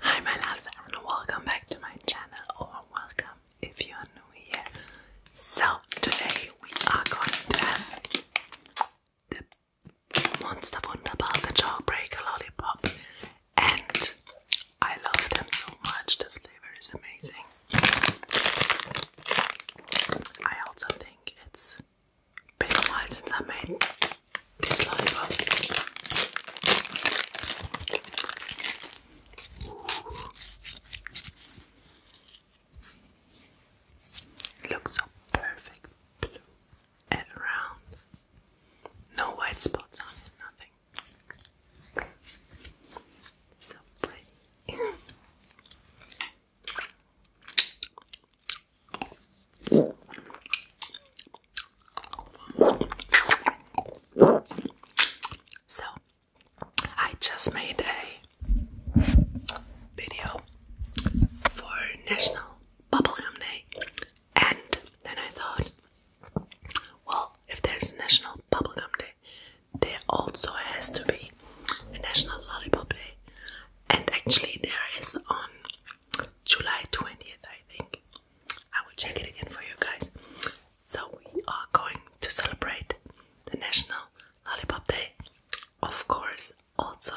Hi, my loves, and welcome back to my channel, or welcome if you are new here. So, today we are going to have the Monster Wunderbar, the Chalk Breaker Lollipop, and I love them so much. The flavor is amazing. I also think it's been since I made this lollipop. Looks so perfect blue and round. No white spots on it, nothing. So pretty. So, I just made a video for National Bubblegum Day, and then I thought well, if there's a National Bubblegum Day, there also has to be a National Lollipop Day. And actually, there is on July 20th, I think. I will check it again for you guys. So, we are going to celebrate the National Lollipop Day, of course, also.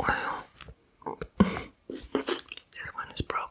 Wow. this one is broken.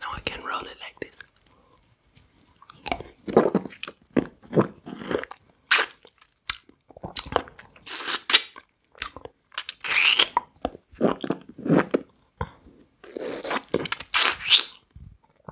Now I can roll it like this.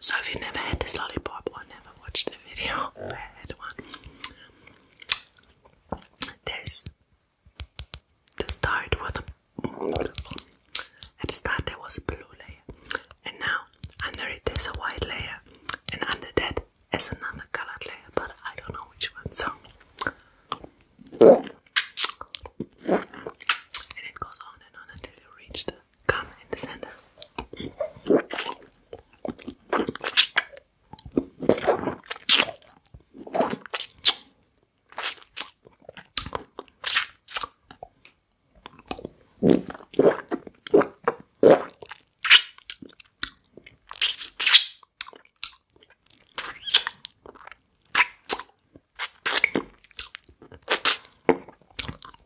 So if you've never had this lollipop, I never watched the video, I had one. There's the start with at the start there was a blue layer, and now under it a white layer, and under that is another colored layer, but I don't know which one. So and it goes on and on until you reach the come in the center.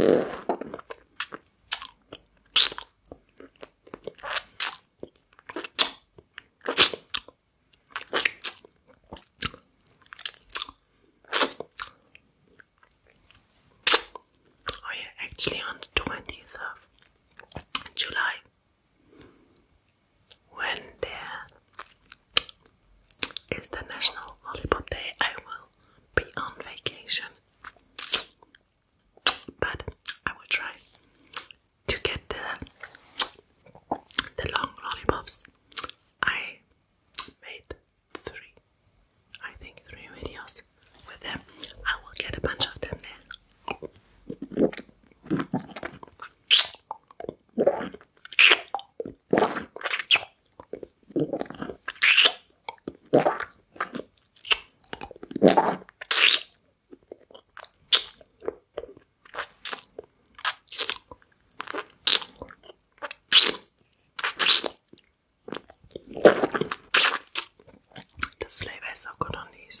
Oh, actually, on the 20th of July, when there is the National Volleyball Day, I will be on vacation. But I will try to get the, the long lollipops. I made three, I think three videos with them. I will get a bunch of them there. The flavour is so good on these.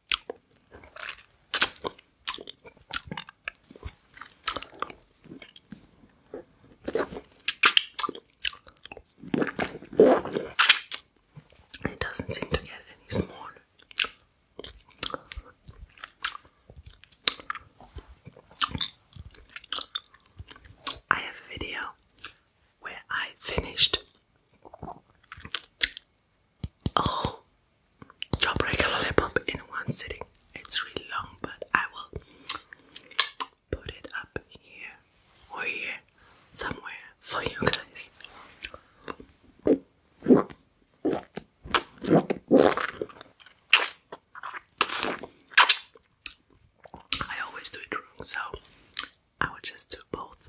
It doesn't seem to get any smaller. I have a video where I finished Oh, drop lollipop in one sitting. It's really long, but I will put it up here or here somewhere for you guys. I always do it wrong, so I will just do both.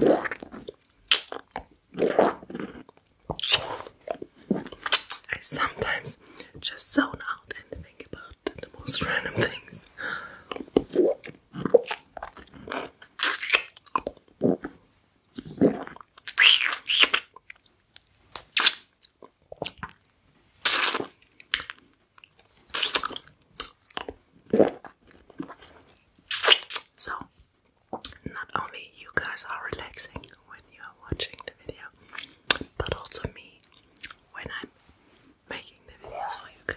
I sometimes just zone out and think about the most random things. So, not only you guys are relaxing when you are watching the video, but also me when I'm making the videos for you guys.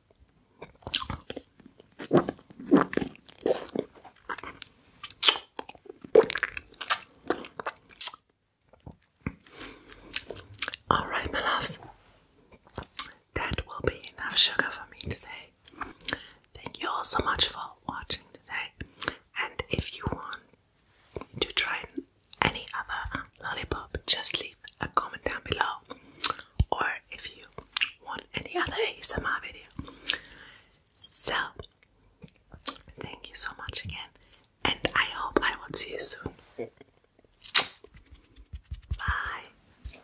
All right, my loves, that will be enough sugar for me today. Thank you all so much for watching today. And if you want to try any other lollipop, just leave a comment down below or if you want any other ASMR video. So, thank you so much again, and I hope I will see you soon. Bye.